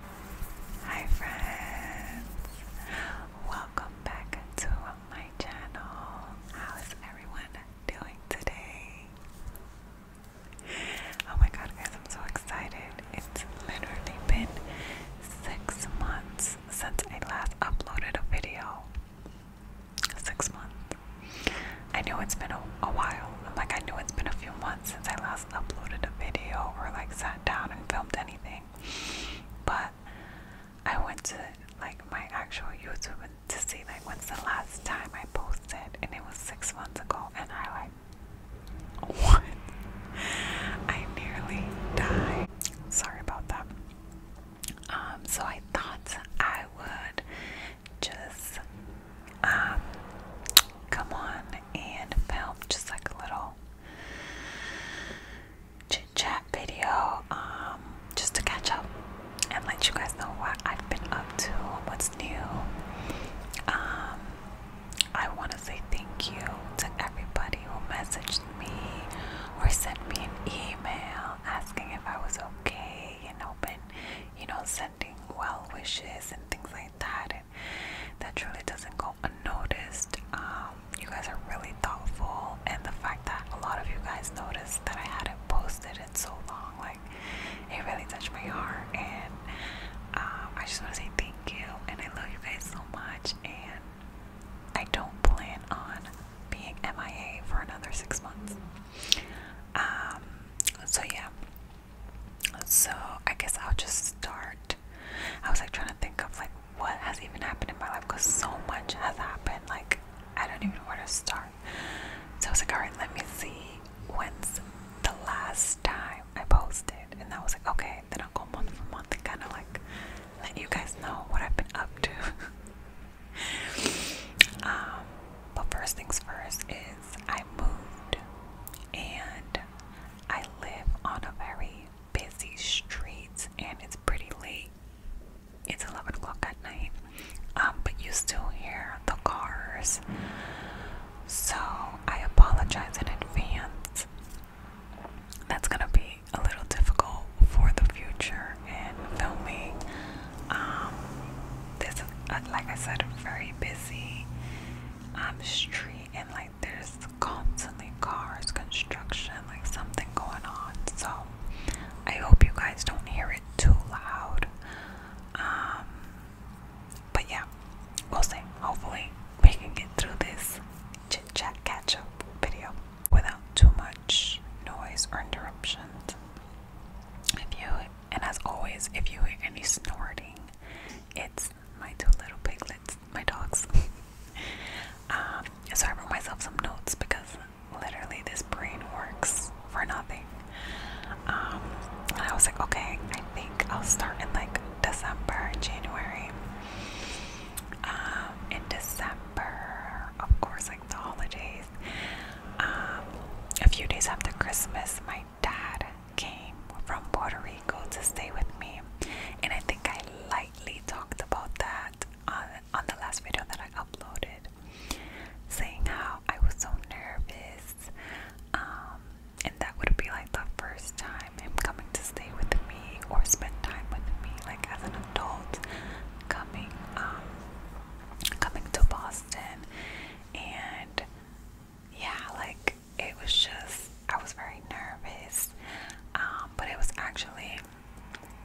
Hi friends! Welcome back to my channel. How is everyone doing today? Oh my god guys, I'm so excited. It's literally been six months since I last uploaded a video. Six months. I know it's been a, while. i like I know it's been a few months since I last uploaded a video or like sat down and filmed anything. But I went to like my actual YouTube to see like when's the last time I posted, and it was six months ago, and I like what? I nearly died. Sorry about that. Um, so I thought I would just um come on and film just like a little chit chat video, um, just to catch up and let you guys know what I've been up to, what's new. Um, I want to say thank you to everybody who messaged me or sent me an email asking if I was okay and open, you know, sending well wishes and things like that, and that truly doesn't go unnoticed. Um, you guys are really thoughtful, and the fact that a lot of you guys noticed that I hadn't posted in so long, like it really touched my heart. And um, I just want to say thank you, and I love you guys so much. And I don't plan on being MIA for another six months. Um, so yeah, so I guess I'll just start. I was like trying to think of like what has even happened in my life because so much has happened. Like I don't even know where to start. So I was like, all right, let me see when's the last time I posted, and I was like, okay, then I'll go month for month and kind of like let you guys know what I've been up to. um, but first things first is I moved, and I live on a very busy street and it's pretty late. It's 11 o'clock at night, um, but you still hear the cars. So I apologize in advance. That's gonna be a little difficult for the future and filming. Um, this is uh, like I said, a very busy um, street and like there's constantly cars, construction, like something going on. So I hope you guys don't hear it too loud. Um, but yeah, we'll see. Hopefully, we can get through this chit chat catch up video without too much noise or interruptions. If you and as always, if you hear any snorting, it's my two little piglets, my dogs. Um, so I wrote myself some notes because literally this brain works for nothing. Um, and I was like, okay, I think I'll start in like December, January. Um, in December, of course, like the holidays. a few days after Christmas, my dad came from Puerto Rico to stay with me, and I think I lightly talked about that on, the last video that I uploaded, saying how I was so nervous, um, and that would be like the first time him coming to stay with me or spend time with me, like as an adult, coming um, coming to Boston, and yeah, like it was just, I was very nervous. Um, but it was actually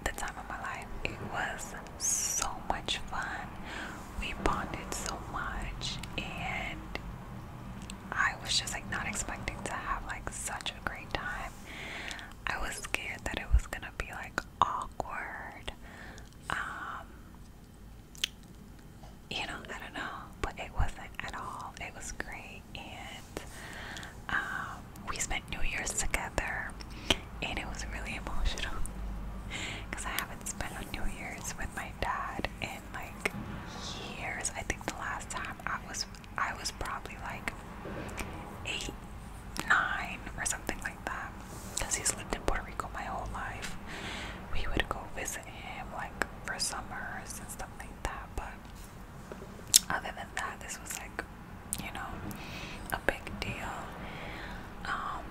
the time of my life. It was so much fun. We bonded so much, and I was just like not expecting to have like such a great time. I was scared that it was gonna be like awkward. Um, you know, I don't know, but it wasn't at all. It was great, and um, we spent New Year's together, and it was really emotional because I haven't spent a New Year's with my dad in like years. I think the last time I was, I was probably like eight, nine, or something like that, because he's lived in Puerto Rico my whole life. We would go visit him like for summers and stuff like that. But other than that, this was like, you know, a big deal. Um,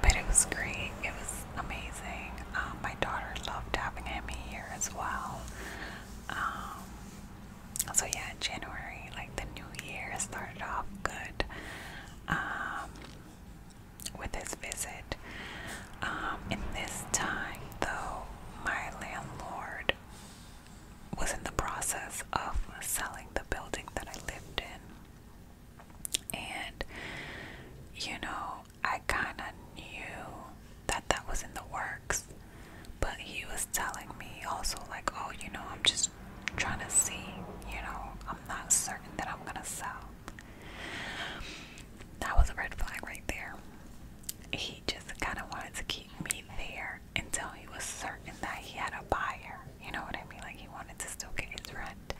but it was great. It was amazing. Um, my daughter loved having him here as well. Um, so yeah, January, like the new year started off good with his visit. Um, in this time, though, my landlord was in the process of selling the building that I lived in. And, you know, I kind of knew that that was in the works. But he was telling me also, like, oh, you know, I'm just trying to see, you know, I'm not certain that I'm going to sell. That was a red flag right there. He just kind of wanted to keep me there until he was certain that he had a buyer. You know what I mean? Like he wanted to still get his rent.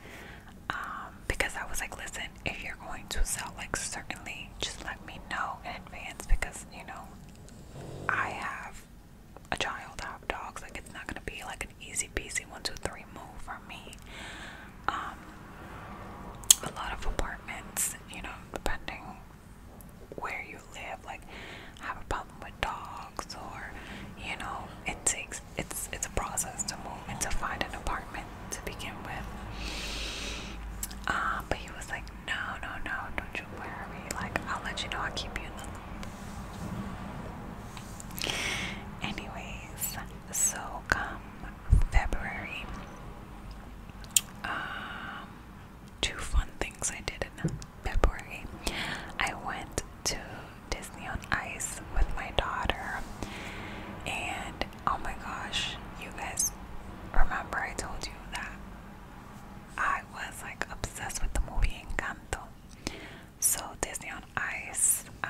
Um, because I was like, listen, if you're going to sell, like certainly just let me know in advance because you know I have a child, I have dogs. Like it's not gonna be like an easy peasy one, two, three move, me. Um, a lot of apartments, you know, depending where you live, like have a problem with dogs, or you know, it takes it's it's a process to move and to find an apartment to begin with. Uh, but he was like, no, no, no, don't you worry. Like, I'll let you know. I'll keep you in the loop. Anyways, so come February. Um, two fun things I did in February. I went to Disney on Ice with my daughter, and oh my gosh, you guys remember I told you that I was like obsessed with the movie Encanto. So Disney on Ice um,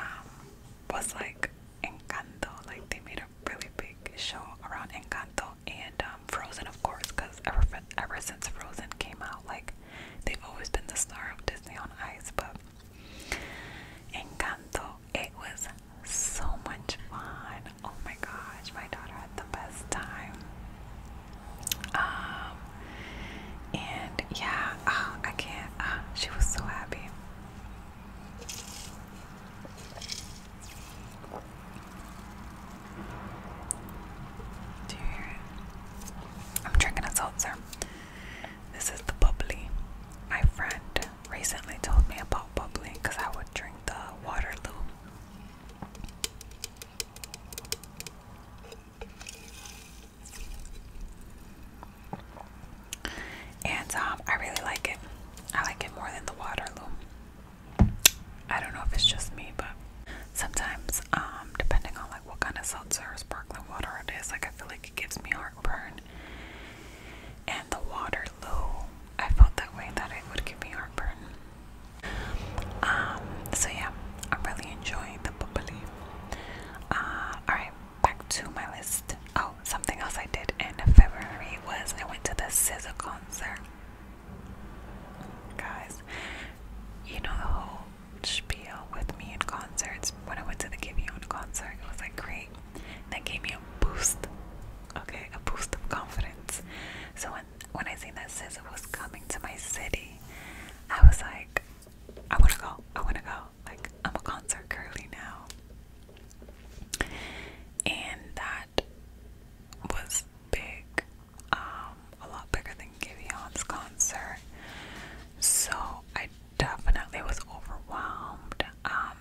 was like Encanto, like they made really big show around Encanto and um, Frozen, of course, because ever, ever since Frozen came out, like they've always been the star of Disney on Ice. But Encanto, it was so much fun. Oh my gosh, my daughter had the best time. Um, and yeah, oh, I can't. Uh, she was so happy. Do you hear it? I'm drinking a seltzer. This is the bubbly. My friend recently told me about bubbly because I would drink the Waterloo and um, I really like it. I like it more than the Waterloo. I don't know if it's just me, but sometimes, um, depending on like what kind of seltzer or sparkling water it is, like I feel like it gives me heartburn. And the Waterloo, I felt that way that it would give me heartburn. Um, so yeah, I'm really enjoying the bubbly. Uh, all right, back to my list. Oh, something else I did in February was I went to the SZA concert. Guys, you know the whole spiel with me in concerts. When I went to the Giveon concert, it was like great. That gave me a boost, okay, a boost of confidence. So when when I seen that SZA was coming to my city, I was like, I wanna go, I wanna go. Like, I'm a concert girly now. And that was big, um, a lot bigger than Giveon's concert. So I definitely was overwhelmed um,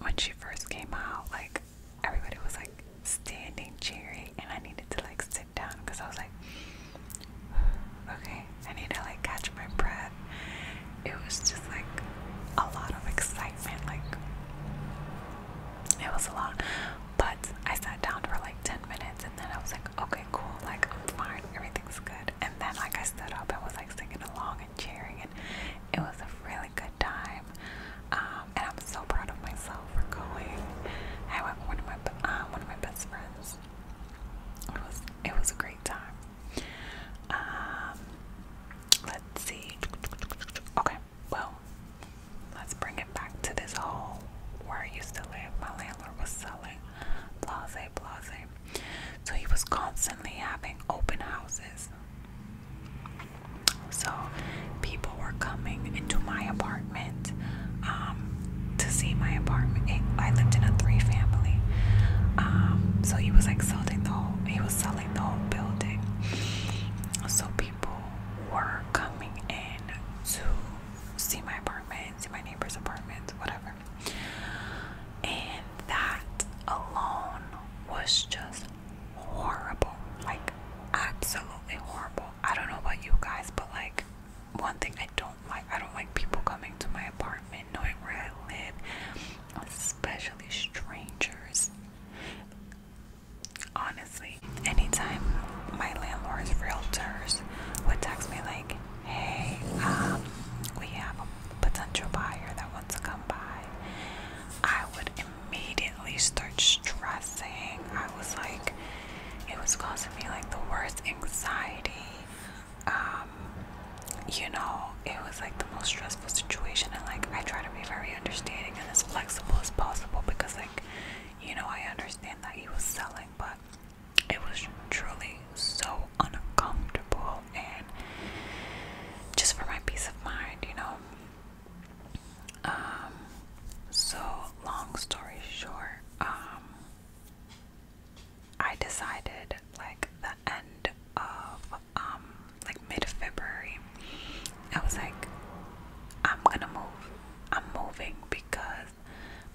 when she first came out. Like, everybody was like standing cheering, and I needed to like sit down because I was like, okay, I need to like catch my breath it was just like a lot of excitement. Like it was a lot. But I sat down for like 10 minutes and then I was like, okay, cool, like I'm fine, everything's good. And then like I stood up and was like singing along and cheering and it was a really good time. Um, and I'm so proud of myself for going. I went with one of my um, one of my best friends. It was it was a great time. Um, let's see. Okay, well, let's bring it back to this whole where I used to live. My landlord was selling blase, blase. So he was constantly having open houses. So people were coming into my apartment um, to see my apartment. I lived in a three family. Um, so he was like selling the whole he was selling the whole building. So people were coming in to see my apartment, see my neighbor's apartment, whatever. And that alone was just horrible. Like absolutely horrible. I don't know about you guys, but like one thing I don't like, I don't like people coming to my apartment knowing where I live especially strangers. Honestly, anytime my landlord's realtors would text me like, "Hey, um, we have a potential buyer that wants to come by," I would immediately start stressing. I was like, it was causing me like the worst anxiety um, you know, it was like the most stressful situation, and like I try to be very understanding and as flexible as possible because, like, you know, I understand that he was selling, but it was truly so uncomfortable, and just for my peace of mind, you know. Um, so long story short, um, I decided like the end of um like mid-February, I was like, I'm gonna move. I'm moving because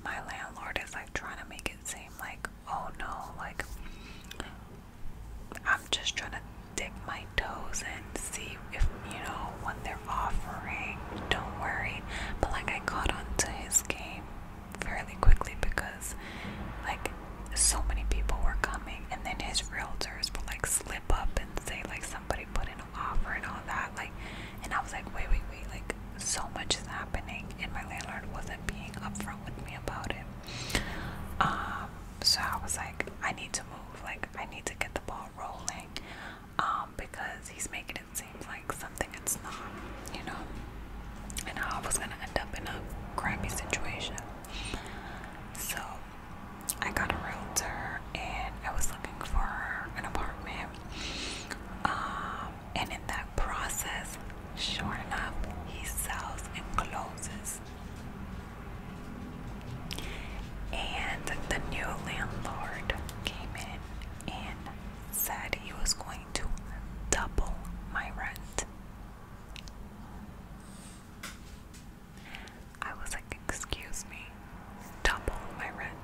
my landlord is like trying to make it seem like, oh no, like I'm just trying to dig my toes in see if you know what they're offering. Don't worry. But like I caught on to his game fairly quickly because like so many people were coming and then his realtors would like slip up and say like somebody put in an offer and all that like and I was like wait wait wait like so much is happening and my landlord wasn't being upfront with me about it um so I was like I need to move like I need to get the ball rolling um because he's making it seem like something it's not you know and I was gonna end up in a crappy situation so I got a realtor and I was looking for an apartment. Um, and in that process, sure enough, he sells and closes. And the new landlord came in and said he was going to double my rent. I was like, excuse me, double my rent.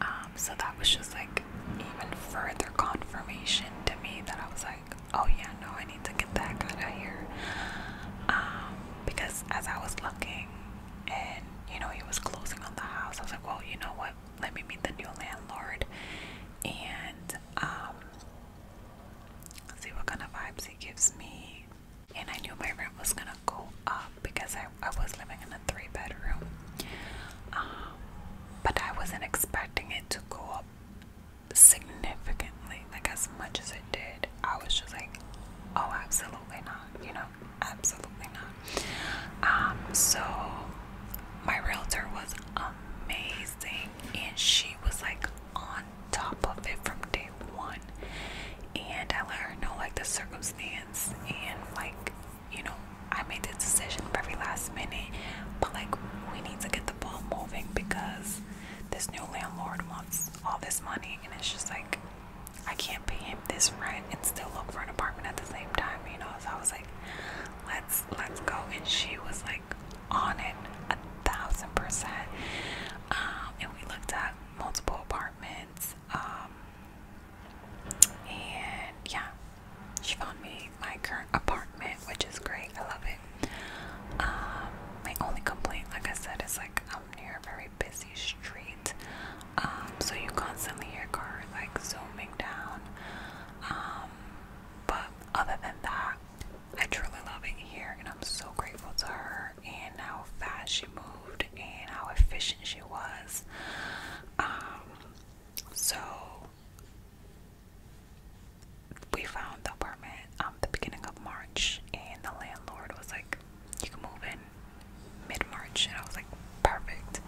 Um, so that was just like even further confirmation to me that I was like, oh yeah, no, I need to get that guy out of here. Um, because as I was looking and you know, he was closing on the house, I was like, well, you know what? Let me meet the new landlord and um, See what kind of vibes he gives me. And I knew my rent was gonna go up because I, was living in a three bedroom. Um, but I wasn't expecting it to go up significantly, like as much as it did. I was just like, oh, absolutely not, you know, absolutely not. Um, so my realtor was amazing and she was like on top of it from day one and I let her know like the circumstance and like you know I made the decision every last minute but like we need to get the ball moving because this new landlord wants all this money and it's just like I can't pay him this rent and still look for an apartment at the same time you know so I was like let's let's go and she was like on it a thousand percent. Um, and we looked at multiple apartments. Um, and yeah, she found me my current apartment, which is great. I love it. Um, my only complaint, like I said, is like I'm near a very busy street, so you constantly hear cars like zooming down. But other than that, I truly love it here, and I'm so grateful to her and how fast she moved and how efficient she was. Um, so we found the apartment um, the beginning of March, and the landlord was like, "You can move in mid-March," and I was like, "Perfect."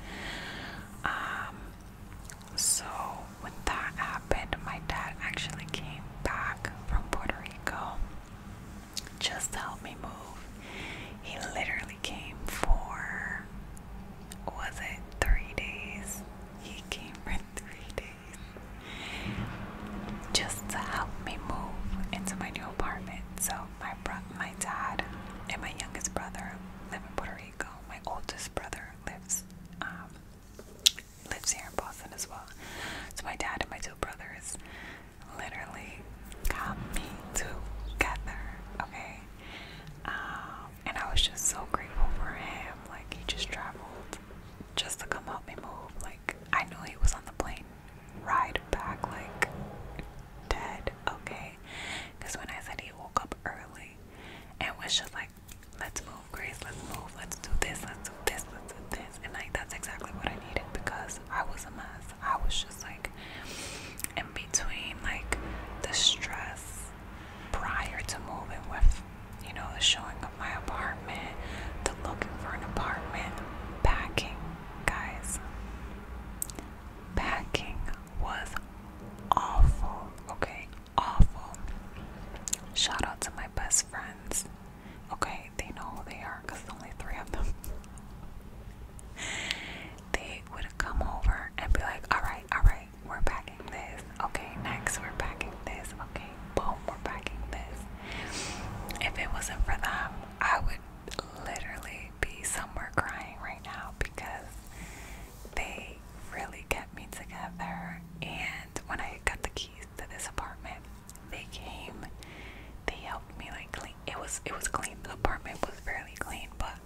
Um, so, when that happened, my dad actually came back from Puerto Rico just to help me move. He literally came for, was it three days? He came for three days just to help me move into my new apartment. So, my, bro my dad and my youngest brother live in Puerto Rico. My oldest brother lives um, lives here in Boston as well. So my dad and my two brothers literally got me together, okay? Um, and I was just so grateful for him. Like he just traveled just to come help me move. Like I knew he was on the plane ride back like dead, okay? Because when I said he woke up early and was just like let's move, Grace, let's move, let's do this, let's do this, let's do this. And like, that's exactly what I needed because I was a mess. I was just like in between, like, the stress prior to moving with, you know, the showing of my apartment, the looking for an apartment, packing, guys. Packing was awful, okay? awful. Shout out to my best friends. Okay, they know who they are because there's only three of them. they would come over and be like, alright, alright, we're packing this. Okay, next, we're packing this. Okay, boom, we're packing this. If it wasn't for them, I would literally be somewhere crying right now because they really kept me together. And when I got the keys to this apartment, they came. They helped me like clean. It was it was clean. The apartment was fairly clean, but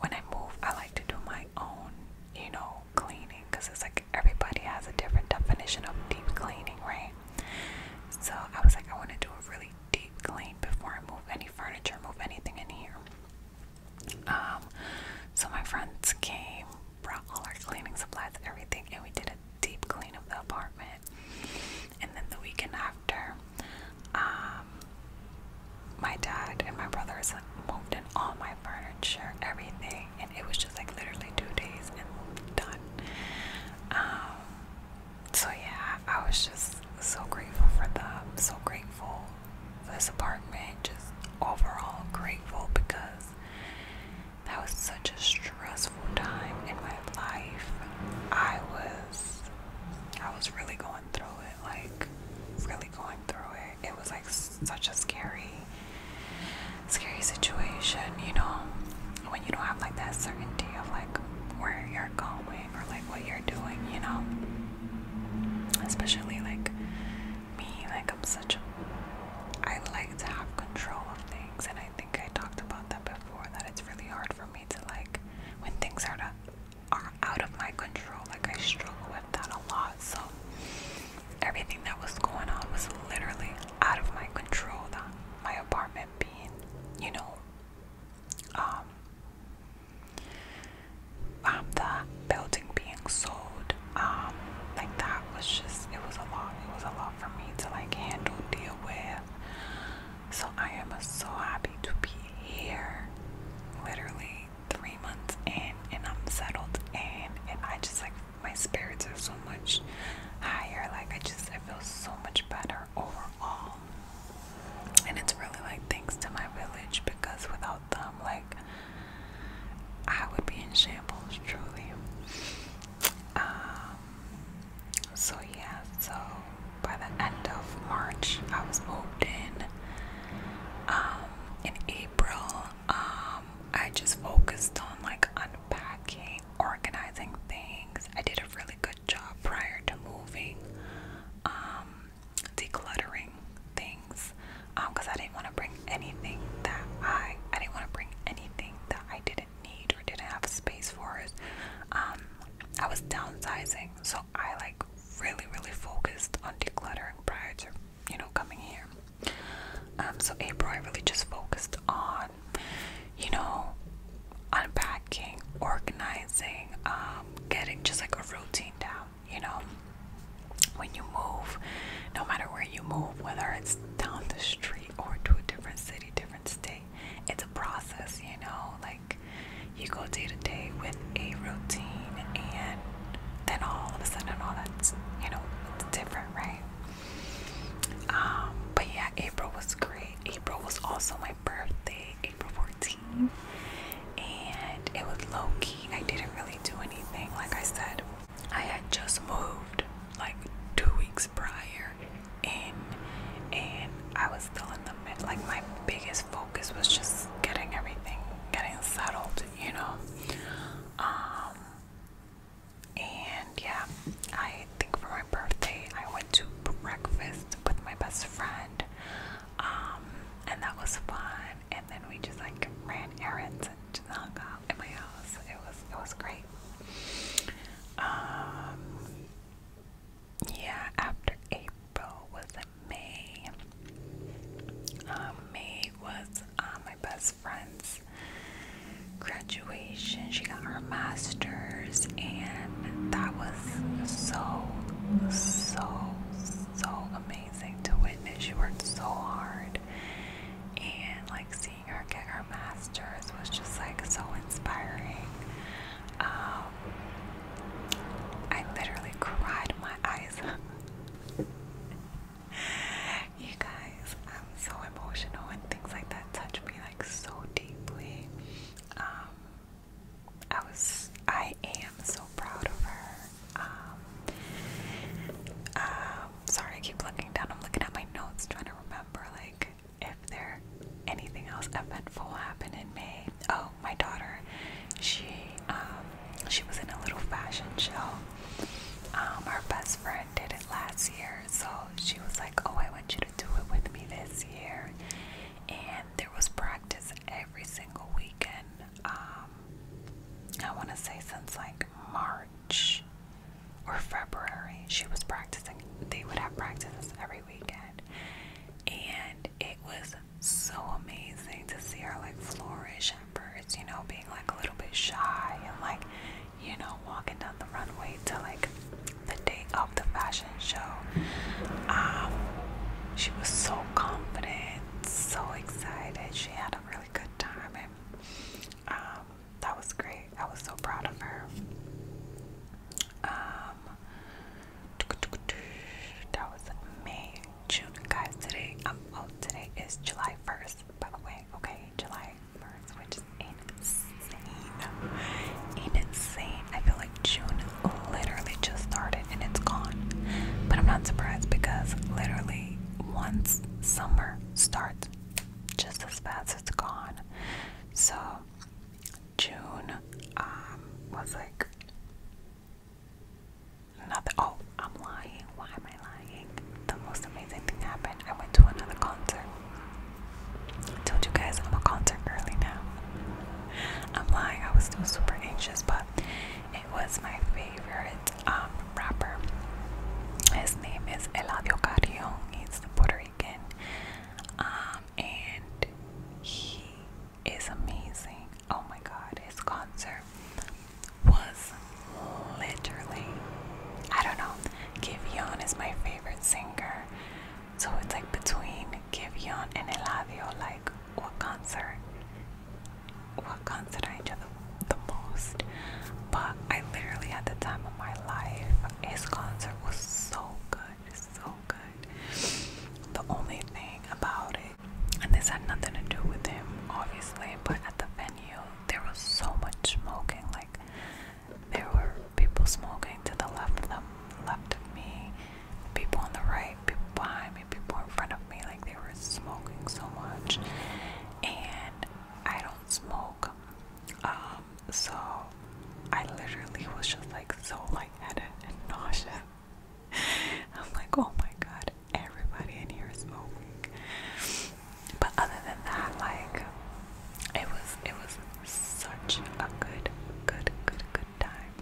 when I move, I like to do my own, you know, cleaning because it's like everybody has a different definition of deep cleaning, right? So I was like, I want to do a really deep clean before I move any furniture, move anything in here. Um, so my friends came, brought all our cleaning supplies, everything, and we did a deep clean of the apartment. And then the weekend after, um, my dad and my brothers moved in all my furniture, everything, and it was just like literally two days and done. Um, so yeah, I was just so grateful for them, so grateful this apartment. Just overall grateful because that was such a stressful time in my life. I was I was really going through it, like really going through it. It was like such a scary scary situation, you know, when you don't have like that certainty of like where you're going or like what you're doing, you know. Especially like me. Like I'm such a I like to have control of things and I think I talked about that before that it's really hard for me to like when things are to, are out of my control. Like I struggle with that a lot. So everything that was going on was literally out of my control. That my apartment being, you know, um, um, the building being sold um, like that was just it was a lot it was a lot for me to like handle deal with so I am so happy to be here literally three months in and I'm settled in and I just like my spirits are so much higher like I just I feel so much better overall and it's really like thanks to my village because without without them, like I would be in shambles, truly. Um, so yeah, so by the end of March, I was moved in. Um, in April, um, I just focused on like unpacking, organizing things. I did a really good job prior to moving decluttering things because um, I didn't want to bring anything that I I didn't want to bring anything that I didn't need or didn't have space for Um, I was downsizing, so I like really really focused on decluttering prior to you know coming here. Um, so April, I really just focused on you know unpacking, organizing, um, getting just like a routine down you know when you move no matter where you move whether it's down the street or to a different city different state it's a process you know like you go day to day with a routine and then all of a sudden all that's you know it's different right um, but yeah April was great April was also my birthday April 14th and it was low key. I didn't really do anything. Like I said, I had just moved like two weeks prior and and I was still in the mid. Like my biggest focus was just getting everything, getting settled, you know. Um, and yeah, I think for my birthday, I went to breakfast with my best friend. Um, and that was fun and then we just like ran errands and just hung out at my house. It was it was great. Um, yeah, after April was May. Um, May was uh, my best friend's graduation. She got her master's, and that was so so so amazing amazing to witness. She worked so hard, and like seeing her get her master's was just like so inspiring. Um, I literally cried my eyes you guys, I'm so emotional, and things like that touch me like so deeply. Um, I was, I am so proud of her. Um, uh, sorry, I keep looking down. I'm looking at my notes, trying to remember like if there anything else eventful happened in May. Oh, my daughter, she um, she was in a little fashion show. Um, our best friend did it last year, so she was like, "Oh, I want you to do it with me this year." And there was practice every single weekend um, I want to say since like March or February, she was practicing. They would have practices every weekend, and it was so amazing to see her like flourish first, you know, being like a little bit shy and like, you know, walking down the runway to like the day of the fashion show. Um, she was so confident so excited. She had a really good time, and um, that was great. I was so proud of her. Um, that was May, June, guys. Today, um, oh, today is July first, by the way. Okay, July first, which is insane, insane. I feel like June literally just started and it's gone. But I'm not surprised because literally once summer starts, just as fast as it's gone. So June um, was like nothing. Oh, I'm lying. Why am I lying? The most amazing thing happened. I went to another concert. I told you guys I'm a concert early now. I'm lying. I was still super anxious, but it was my favorite um, rapper. His name is Eladio Carrion. He's Puerto Rican, um, and he is amazing. Oh my God, his concert was literally. I don't know. Giveon is my favorite singer, so it's like between Giveon and Eladio. Like, what concert what comes to each the most. But I literally had the time of my life. His concert was so good, so good. The only thing about it, and this had nothing to do with him, obviously, but at the venue there was so much smoking. Like there were people smoking to the left, left, left of me, people on the right people behind me, people in front of me, like they were smoking so much. And I don't smoke. Um, so I literally was just like so lightheaded and nauseous. I'm like, oh my god, everybody in here is smoking. But other than that, like it was it was such a good, good, good, good time.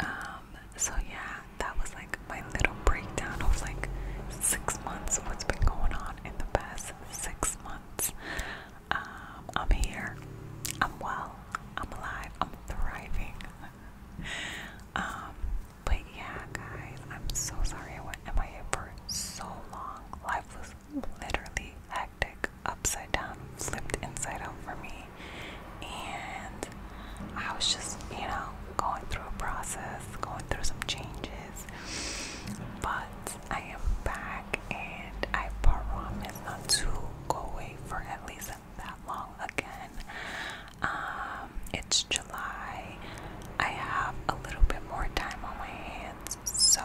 Um, so yeah, that was like my little breakdown of like six months of what's been going on in the past six months. Um, I'm here, I'm well, I'm alive, I'm thriving. Um, but yeah, guys, I'm so sorry I went MIA for so long. Life was literally hectic, upside down, flipped inside out for me and I was just, you know, going through a process, going through some changes. But I am back, and I promise not to go away for at least that long again. Um, it's July. I have a little bit more time on my hands, so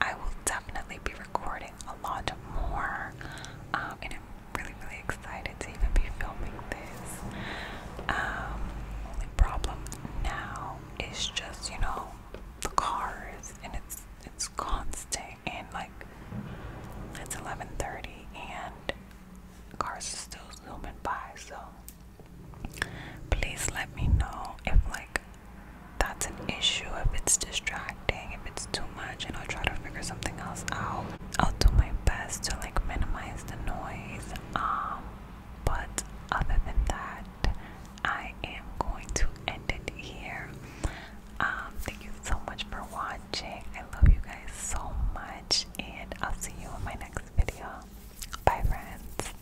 I will definitely be recording a lot more. Um, and I'm really, really excited to even be filming this. Um, only problem now is just you know the cars, and it's it's constant, and like it's 11:30, and cars are still zooming by. So please let me know if like that's an issue, if it's distracting distracting, if it's too much, and I'll try to figure something else out. I'll do my best to like minimize the noise. Um, but other than that, I am going to end it here. Um, thank you so much for watching. I love you guys so much, and I'll see you in my next video. Bye, friends.